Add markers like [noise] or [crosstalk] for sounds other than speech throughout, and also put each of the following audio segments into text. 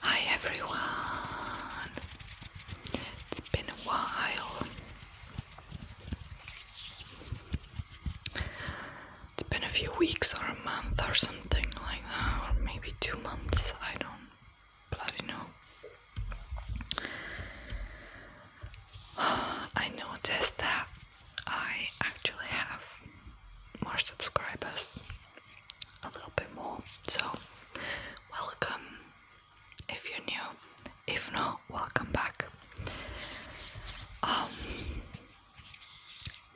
Hi everyone. It's been a while. It's been a few weeks or a month or something something like that, or maybe two months, I don't bloody know. [sighs] I noticed that I actually have more subscribers, a little bit more, so welcome if you're new, if not, welcome back. Um,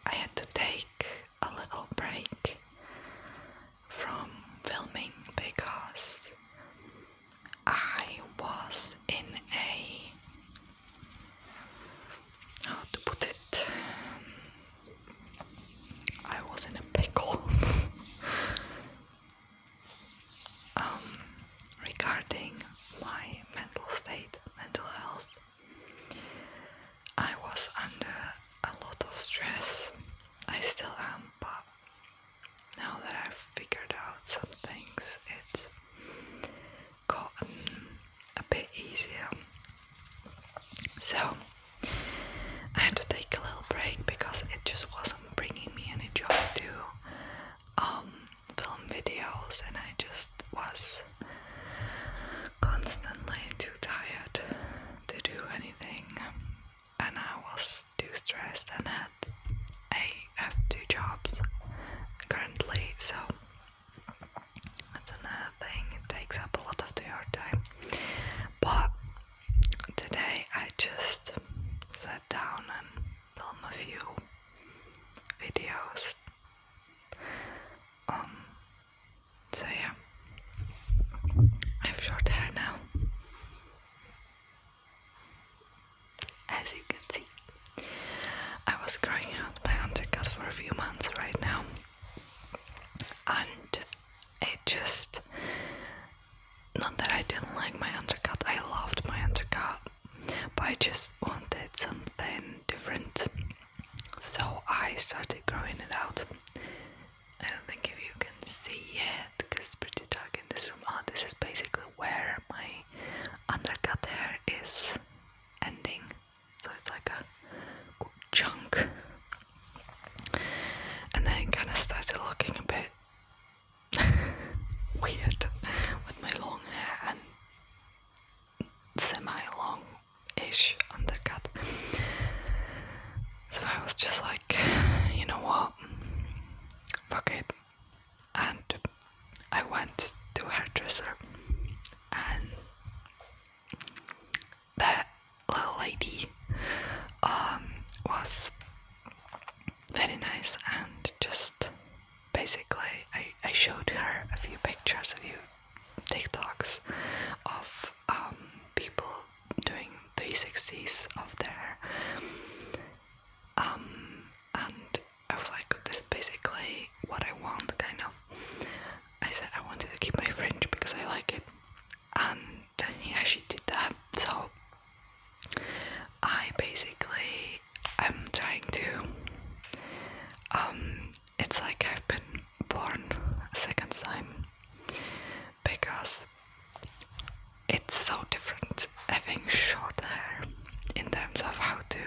I had to take a little break from filming because I was in a how to put it I was in a pickle [laughs] um, regarding my mental state mental health I was under a lot of stress. I still am, but now that I've figured out some things, it's gotten a bit easier. So, I had to take a little break because it just wasn't bringing me any joy to um, film videos, and I just was constantly too tired to do anything, and I was too stressed and had I have two jobs currently, so that's another thing. It takes up a lot of your time, but today I just sat down and filmed a few videos. So yeah, I have short hair now, as you can see. I was growing out my undercut for a few months right now, and it just not that I didn't like my undercut, I loved my undercut, but I just wanted something different. So I started growing it out. I don't think if you can see it because it's pretty dark in this room. Oh, this is basically where my undercut hair is ending. So it's like a chunk. And then it kind of started looking a bit [laughs] weird with my long hair semi long ish undercut. So I was just like, you know what? Fuck it. And I went to hairdresser and that little lady um, was very nice and just basically I, I showed her a few pictures, of you. TikToks of um, people doing 360s of their um, and I was like this is basically what I want kind of I said I wanted to keep my fringe because I like it and yeah, she did that so I basically am trying to um, it's like I've been born a second time because it's so different having short hair in terms of how to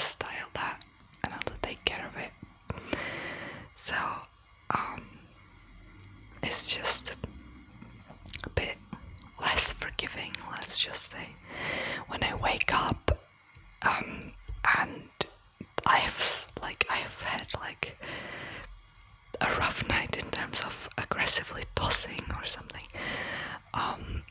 style that and how to take care of it. So, um, it's just a bit less forgiving, let's just say. When I wake up, um, and I have like I have had like a rough night in terms of aggressively tossing or something, um,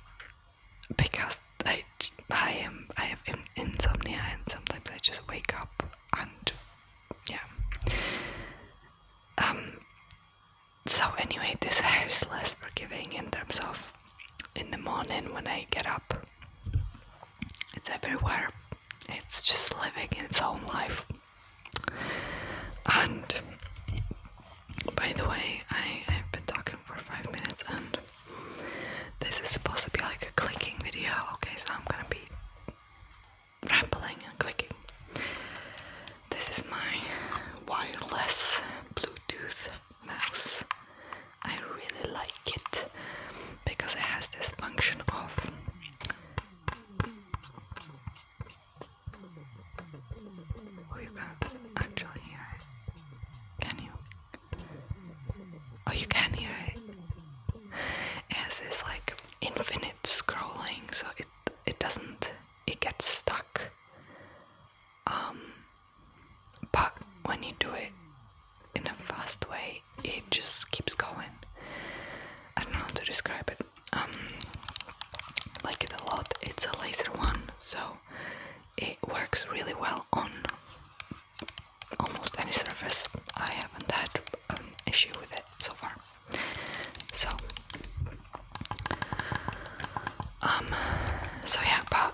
because I I am I have insomnia and sometimes I just wake up and yeah. Um. So anyway, this hair is less forgiving in terms of in the morning when I get up. It's everywhere it's just living its own life. And by the way, I, have been talking for five minutes and this is supposed to be like a clicking video, okay? So I'm gonna be rambling and clicking. This is my wireless Bluetooth mouse I really like it because it has this function of Oh you can't actually hear it. Can you? Oh you can hear it. It has this like infinite scrolling so it it doesn't it gets stuck. Um but when you do it in a fast way, it just keeps going. I don't know how to describe it. Um, like it a lot. It's a laser one, so it works really well on almost any surface. I haven't had an issue with it so far. So, um, so yeah, but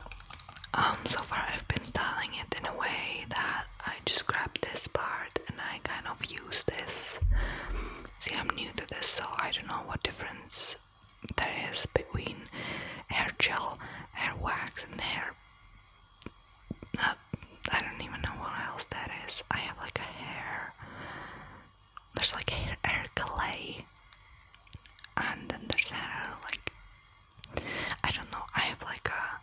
um, so far I've been styling it in a way that I just grabbed this part and I kind of use this. See, I'm new to this, so I don't know what difference there is between hair gel, hair wax, and hair. Uh, I don't even know what else that is. I have like a hair. There's like hair, hair clay, and then there's hair like I don't know. I have like a.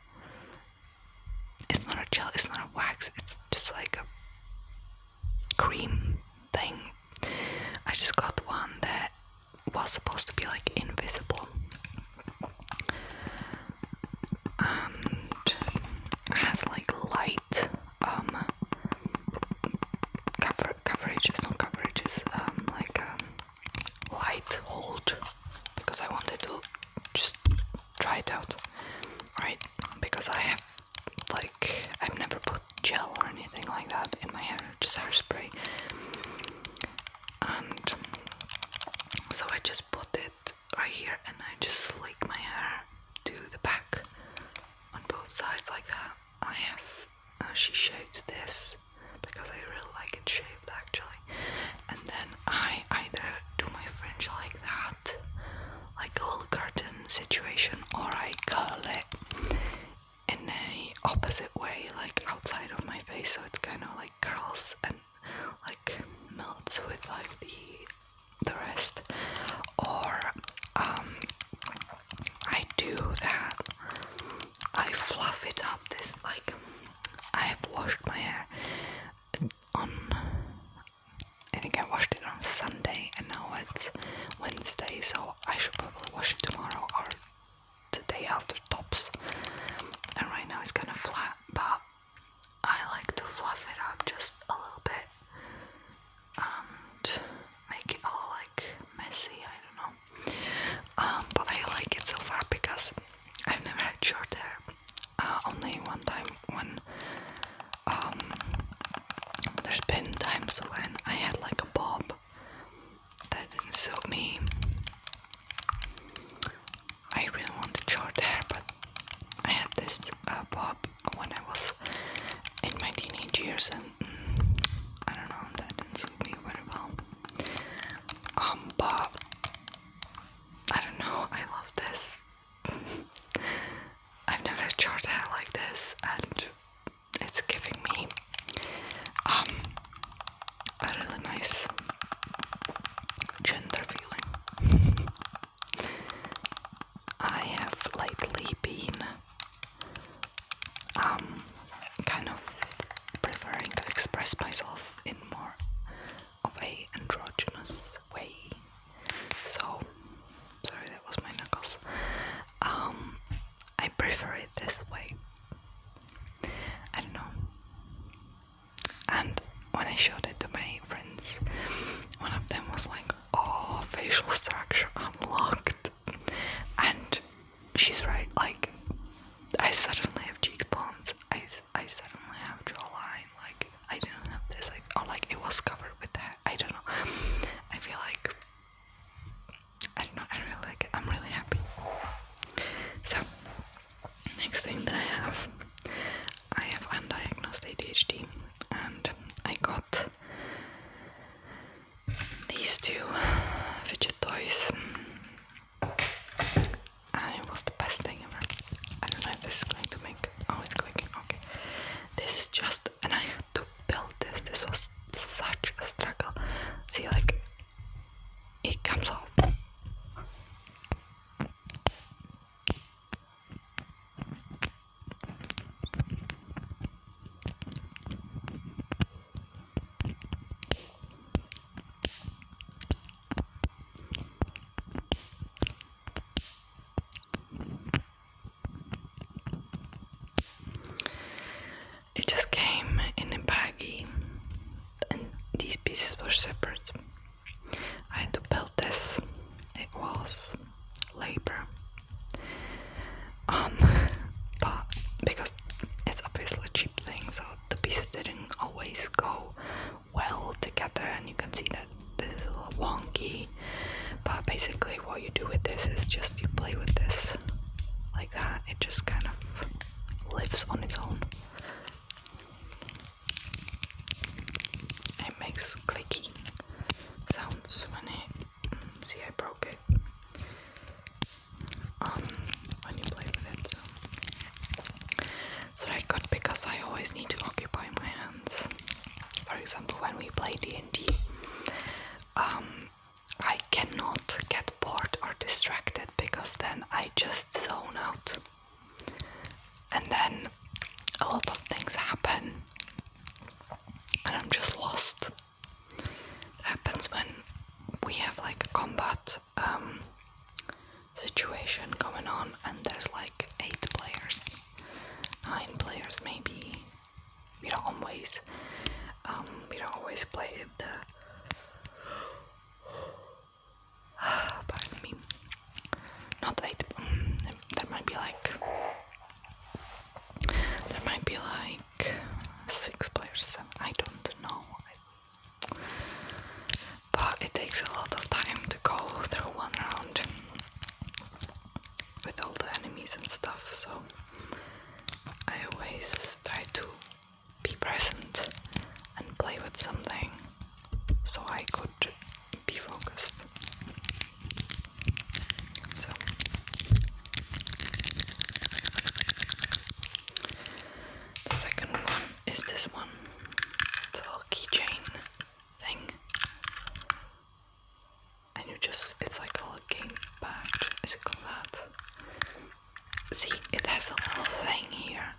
It's not a gel. It's not a wax. It's just like a cream thing. I just got one that was supposed to be like invisible, and has like light um cover coverages, not coverages, um like um light hold because I wanted to just try it out, right? Because I have like I've never put gel or anything like that in my hair, just hairspray, and so I just put it right here and I just slick my hair to the back on both sides like that. I have uh, she showed this because I really like it shaved actually. And then I either do my fringe like that, like a little curtain situation, or I curl it in a opposite way, like outside of my face, so it's kind of like curls and like melts with like the the rest. Or um, I do that. I fluff it up this like I have washed my hair on. I think I washed it on Sunday, and now it's Wednesday, so I should probably wash it tomorrow or the day after tops. And right now it's kind of flat, but I like to fluff it up just a little bit and make it all like messy. I don't know. Um, but I like it so far because I've never had short hair. Uh, only one time when um, there's been times when I had like a bob that didn't suit me. I really wanted short hair, but I had this uh, bob when I was in my teenage years, and mm, I don't know, that didn't suit me very well. Um, I don't know, I love this. [laughs] I've never charged hair like this, and it's giving me um, a really nice gender feeling. [laughs] I have lately been um, kind of preferring to express myself in more of a androgynous way. So sorry that was my knuckles. Um I prefer it this way. I don't know. And when I showed it to my friends, one of them was like, Oh, facial structure unlocked. And she's right. Like, I suddenly have cheekbones. I, I suddenly have jawline. Like, I didn't have this. Like, oh, like it was covered with that. I don't know. I feel like I don't know. I really like it. I'm really happy. So, next thing that I have, I have undiagnosed ADHD, and I got these two fidget toys it was the best thing ever. I don't know if this is going to make. Oh, clicking. Okay, this is just, and I had to build this. This was such a struggle. See, like it comes off. It just came in a baggie, and these pieces were separate. I had to build this, it was labor. Um, [laughs] but because it's obviously a cheap thing, so the pieces didn't always go well together, and you can see that this is a little wonky. But basically, what you do with this is just you play with this like that, it just kind of lives on its own. It makes clicky sounds when it. Mm, see, I broke it when um, you play with it. So. so I got because I always need to occupy my hands. For example, when we play D and D, um, I cannot get bored or distracted because then I just zone out, and then a lot of things happen, and I'm just lost. happens when we have like combat um, situation going on, and there's like eight players, nine players maybe. We don't always, um, we don't always play the. [sighs] Pardon me. Not eight. Mm, there might be like. There might be like six players. I don't know but it takes a lot of time to go through one round with all the enemies and stuff, so I always try to be present and play with something so I could be focused. The second one is this one. It's a little keychain thing. And you just, it's like a game badge. Is it called that? See, it has a little thing here.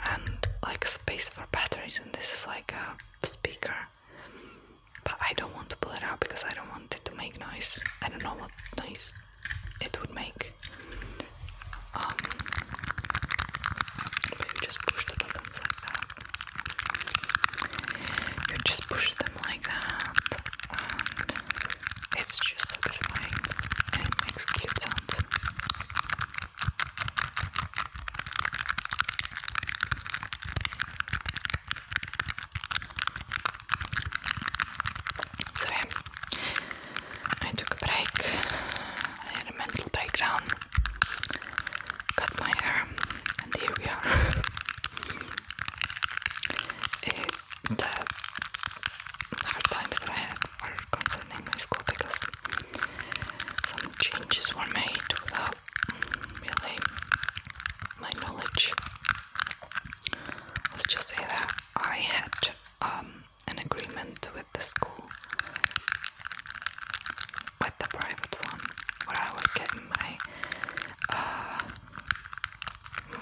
And like a space for batteries, and this is like a speaker. But I don't want to pull it out because I don't want it to make noise. I don't know what noise it would make. Um, just push the buttons like that. You just push them like that, it's just satisfying, and it makes cute sounds. So I took a break, had a mental breakdown, cut my hair, and here we are. [laughs] the hard times that I had were concerning my school because some changes were made without really my knowledge. Let's just say that. I had um, an agreement with the school, with the private one, where I was getting my uh,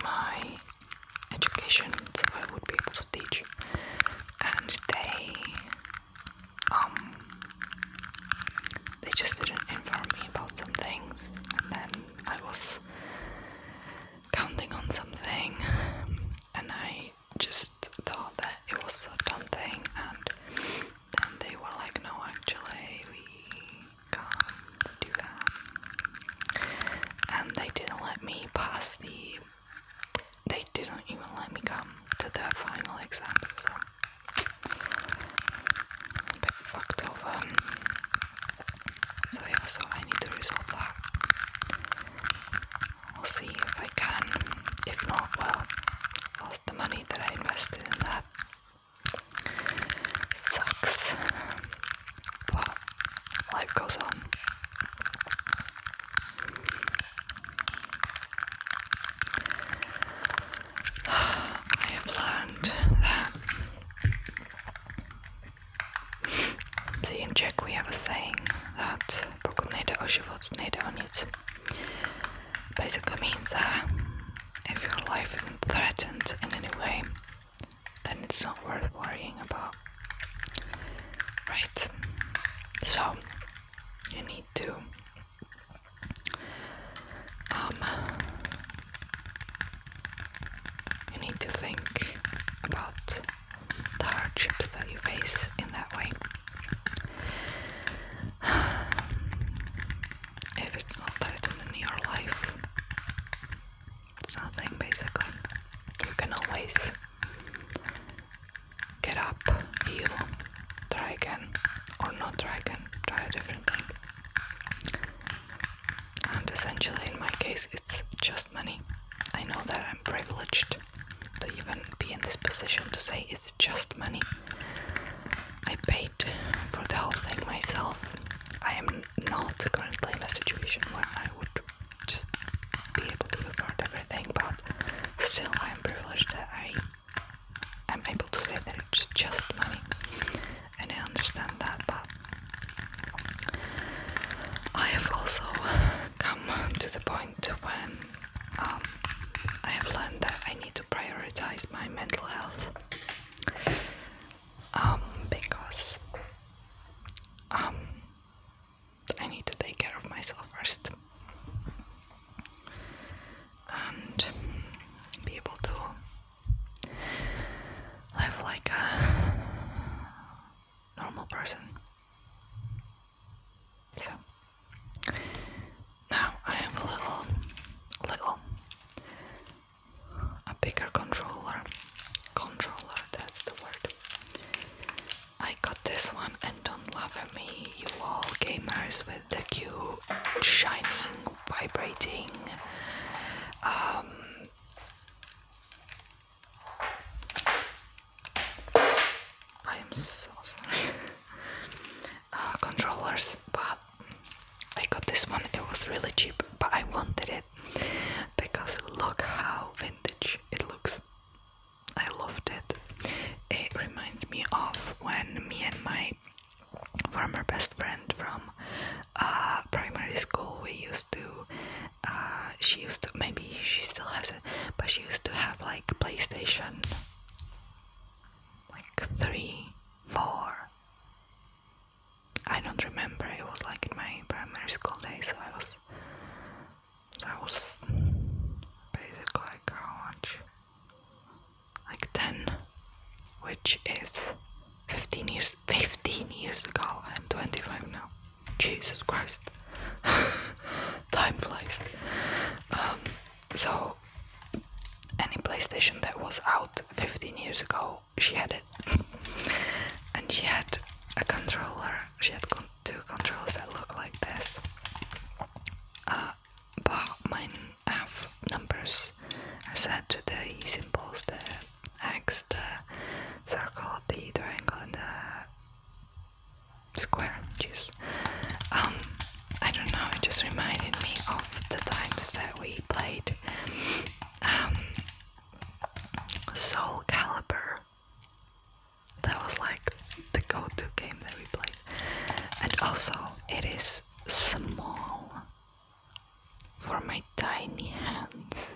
my education, so I would be able to teach, and they um, they just didn't inform me about some things, and then I was counting on something, and I just thought that it was a done thing, and then they were like, "No, actually, we can't do that," and they didn't let me pass the. They didn't even let me come to the final exams, so fucked over. So yeah, so I need to resolve that. i will see if I can. If not, well, lost the money that I invested in that. Sucks. But life goes on. [sighs] I have learned that See, in Czech we have a saying that pokud nejde o život, nejde o nic. Basically means that if your life isn't threatened in any way, then it's not worth worrying about. Right? So, you need to um, you need to think about the hardships that you face in that way. [sighs] If it's not threatened in your life, it's nothing basically. You can always get up, heal, try again, or not try again, try a different thing and essentially in my case it's just money. I know that I'm privileged to even be in this position to say it's just money. I paid for the whole thing myself. I am not currently in a situation where I would just be able to afford everything, but still I am privileged that I am able to say that it's just money and I understand that, but I have also come to the point when um, I have learned that I need to prioritize my mental health um, because um, I need to take care of myself first and be able to live like a normal person. So now I have a little, little, a bigger controller. Controller, that's the word. I got this one and don't laugh at me, you all gamers with the cute, shining, vibrating, um, I am so sorry. [laughs] Uh, controllers, but I got this one. It was really cheap, but I wanted it because look how vintage it looks. I loved it. It reminds me of when me and my former best friend from uh, primary school we used to uh, she used to maybe she still has it but she used to have like playstation like three four i don't remember it was like in my primary school days so i was so i was basically like how much like 10 which is 15 years 15 years ago i'm 25 now jesus christ [laughs] time flies um, so any playstation that was out 15 years ago she had it [laughs] and she had a controller she had two controls that look like this uh, but mine have numbers are set the symbols X, the circle, the triangle, and the square. Jeez. Um, I don't know, it just reminded me of the times that we played um, Soul Calibur. That was like the go to game that we played. And also, it is small for my tiny hands.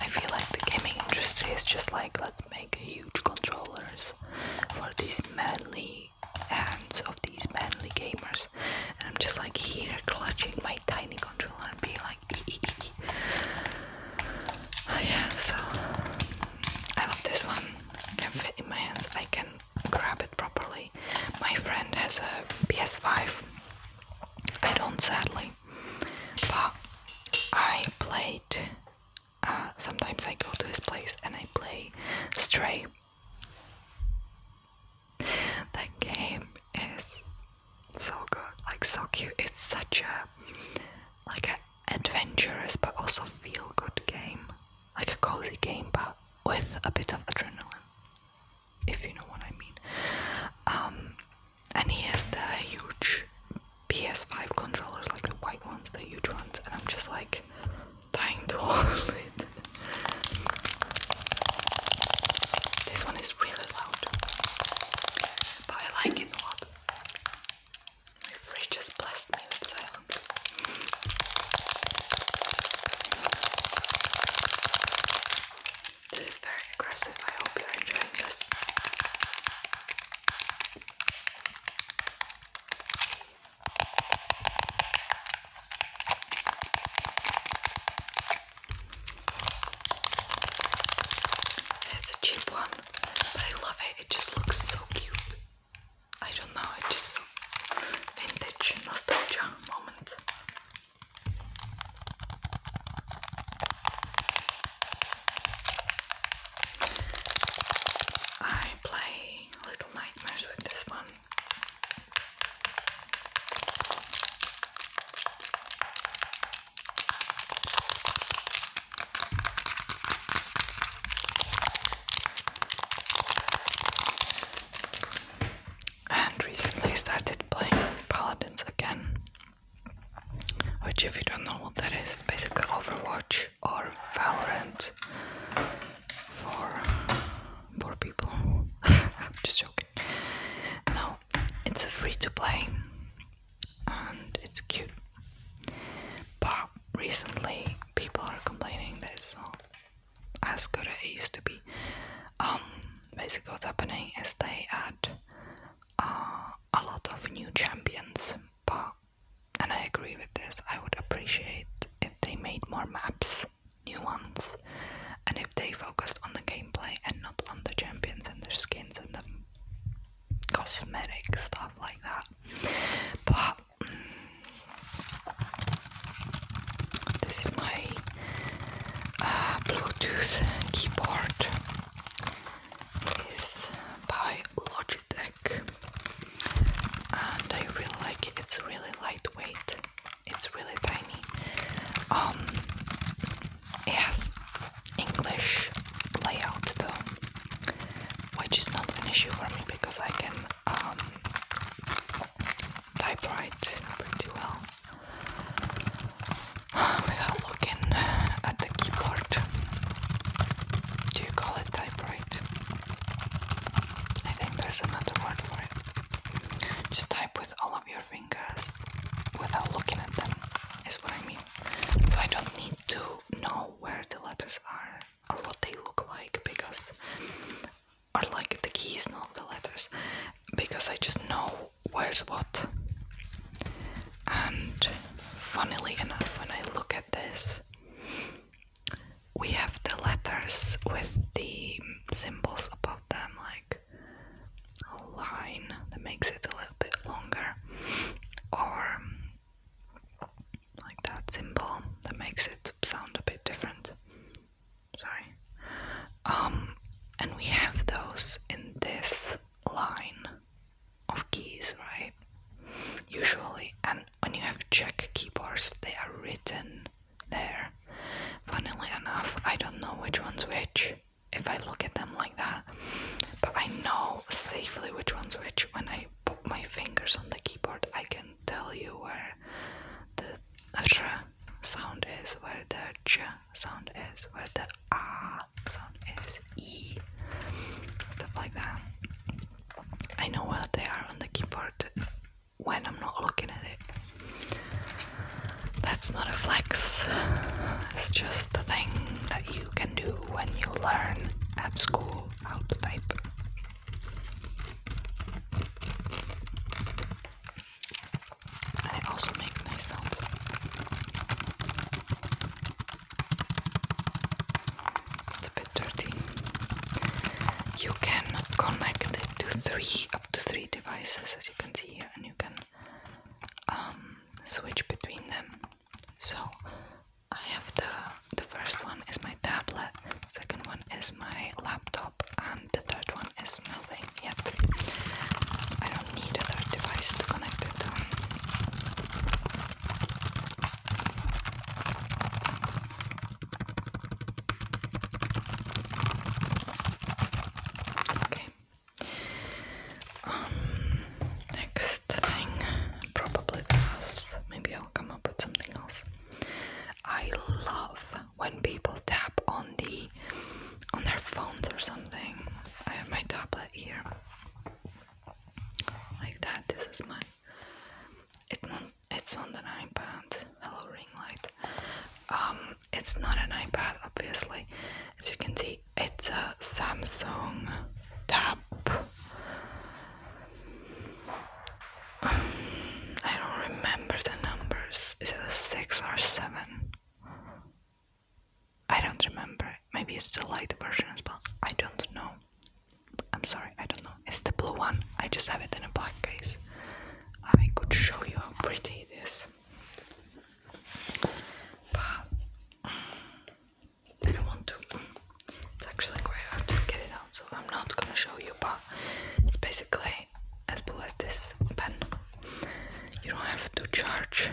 I feel like the gaming industry is just like let's make huge controllers for these manly hands of these manly gamers, and I'm just like here clutching my tiny controller and being like, ee -ee -ee. oh yeah. So I love this one. It can fit in my hands. I can grab it properly. My friend has a PS5 I don't sadly, but I played. Uh, sometimes I go to this place and I play Stray. That game is so good, like so cute. It's such a like an adventurous but also feel good game, like a cozy game, but with a bit of adrenaline if you know what I mean. Um, and he has the huge PS5 controllers, like the white ones, the huge ones, and I'm just like dying to [laughs] hold it. This one is really loud, but I like it a lot. My fridge just blessed me with silence. This is very aggressive. I hope you're enjoying this. It's a cheap one, but I love it. It just looks so cute. I don't know, it's just vintage nostalgia moment. I play Little Nightmares with this one and recently started playing Paladins again. Which, if you don't know what that is, it's basically Overwatch or Valorant for poor people. [laughs] I'm just joking. No, it's a free to play and it's cute. But recently, people are complaining that it's as good as it used to be. Um, basically, what's happening is they add uh, a lot of new champions, but and I agree with this. I would appreciate if they made more maps, new ones, and if they focused on the gameplay and not on the champions and their skins and the cosmetic stuff like that. But mm, this is my uh, Bluetooth keyboard. It's by Logitech, and I really like it. It's really lightweight. It's really tiny. Um, it has English layout though, which is not an issue for me because I can um, typewrite pretty well [sighs] without looking uh, at the keyboard. Do you call it typewrite? I think there's another word for it. Just type with all of your fingers without looking at them, is what I mean. So I don't need to know where the letters are or what they look like because are like the keys, not the letters, because I just know where's what. And funnily enough, when I look at this, we have the letters with the symbols above them, like a line that makes it a little bit longer, or like that symbol that makes it sound a bit different sorry um and we have those in this line of keys right usually and when you have czech keyboards they are written there funnily enough i don't know which one's which if i look at them like that but i know safely which one's which when i put my fingers on the keyboard i can tell you where the sh sound is, where the ch sound is, where the ah sound is, e, stuff like that. I know where they are on the keyboard when I'm not looking at it. That's not a flex, it's just the thing that you can do when you learn at school how to type. And also make nice sounds. a bit dirty. You can connect it to three, up to three devices, as you can see here, and you can um, switch between them. So I have the the first one is my tablet second one is my laptop, and the third one is nothing yet. I don't need a device to connect it Okay. Um, next thing, probably Maybe I'll come up with something else. I love when people tap on the on their phones or something. I have my tablet here. Like that. This is my it's on. it's not an iPad. Hello ring light. Um it's not an iPad obviously. As you can see it's a Samsung tab I don't remember the numbers. Is it a six or seven? I don't remember. Maybe it's the light version as well. I don't know. I'm sorry, I don't know. It's the blue one. I just have it in a black case. I could show you how pretty it is. But I don't want to. It's actually quite hard to get it out, so I'm not gonna show you. But it's basically as blue as this pen you don't have to charge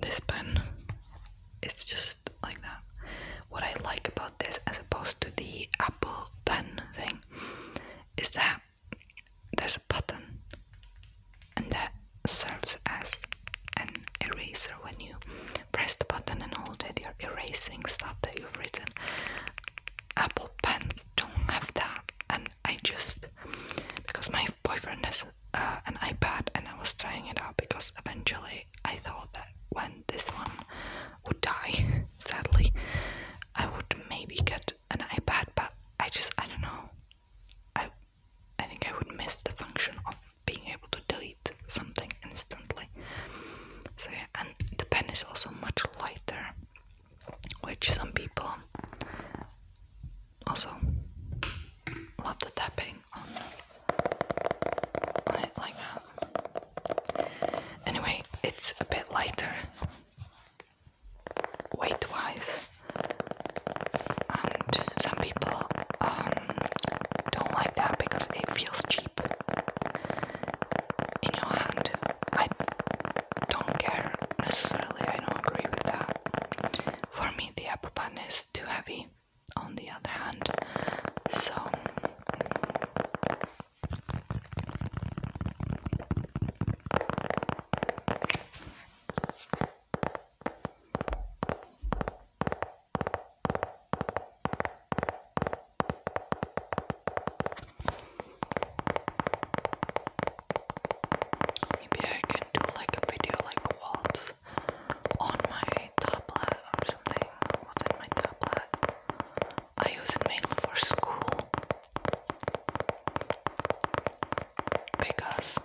this pen it's just like that what I like about this as opposed to the Apple pen thing is that there's a button and that serves as an eraser when you press the button and hold it you're erasing stuff that you've written Apple pens don't have that, and I just because my boyfriend has uh, an iPad, and I was trying it out because eventually I thought that when this one would die, [laughs] sadly, I would maybe get an iPad, but I just I don't know. I I think I would miss the function of being able to delete something instantly. So yeah, and the pen is also much lighter, which some people also love the tapping on, it like that. Anyway, it's a bit lighter weight wise and some people um, don't like that because it feels cheap in your hand. I don't care necessarily, I don't agree with that. For me, the apple pan is too heavy, on the other hand, so. Maybe I can do like a video like waltz on my tablet or something. What's in my tablet? I use it mainly for school because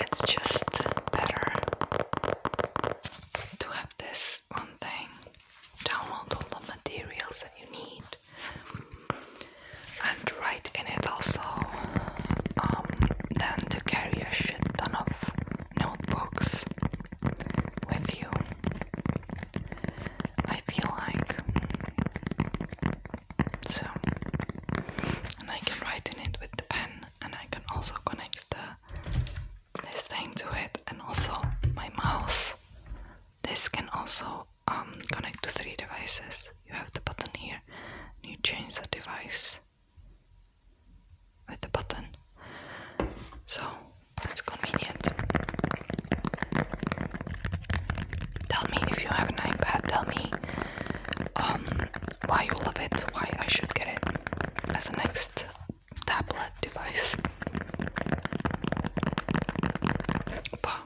it's just better to have this one thing download all the materials that you need and write in it also um, than to carry a shit ton of notebooks with you. I feel like so, and I can write in it with the pen, and I can also connect the this thing to it and also my mouse. This can also um, connect to three devices. You have the button here you change the device with the button. So that's convenient. Tell me if you have an iPad, tell me um, why you love it, why I should get it as a next tablet device. But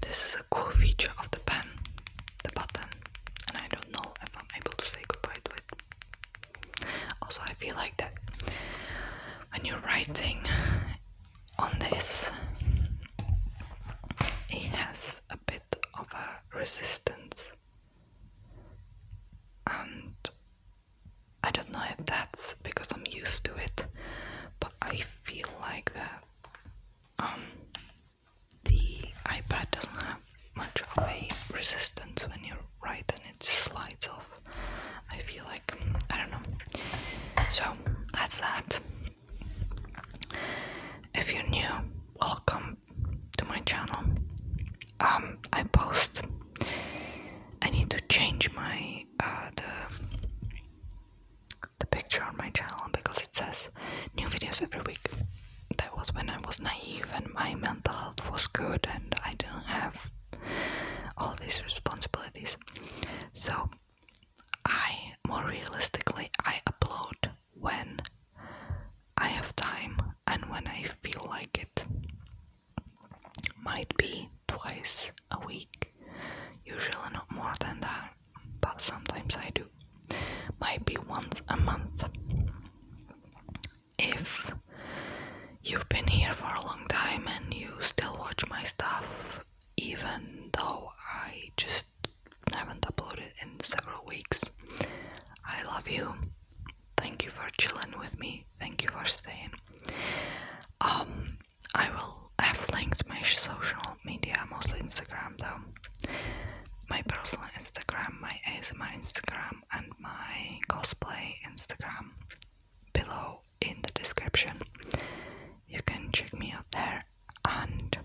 this is a cool feature of the pen, the button, and I don't know if I'm able to say goodbye to it. Also, I feel like that when you're writing on this, it has a bit of a resistance, and I don't know if that's because I'm used to it, but I feel like that um, the iPad doesn't have much of a resistance when you write and it just slides off. I feel like, I don't know. So that's that. If you're new, welcome to my channel. Um, I post. I need to change my uh, the the picture on my channel because it says new videos every week. That was when I was naive and my mental health was good and I didn't have all these responsibilities. So I more realistically I upload when I have time and when I feel like it. Might be twice a week, usually not more than that, but sometimes I do. Might be once a month. If you've been here for a long time and you still watch my stuff, even though I just haven't uploaded in several weeks, I love you. Thank you for chilling with me. Thank you for staying. Um, I will have linked my social media, mostly Instagram though. My personal Instagram, my ASMR Instagram, and my cosplay Instagram below in the description. You can check me out there. And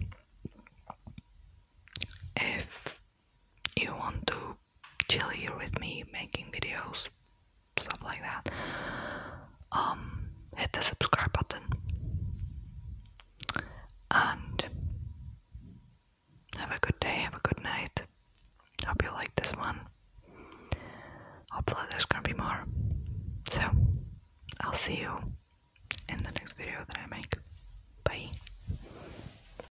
if you want to chill here with me making videos, stuff like that, um, hit the subscribe button. And have a good day, have a good night. Hope you like this one. Hopefully, there's gonna be more. So, I'll see you in the next video that I make. Bye.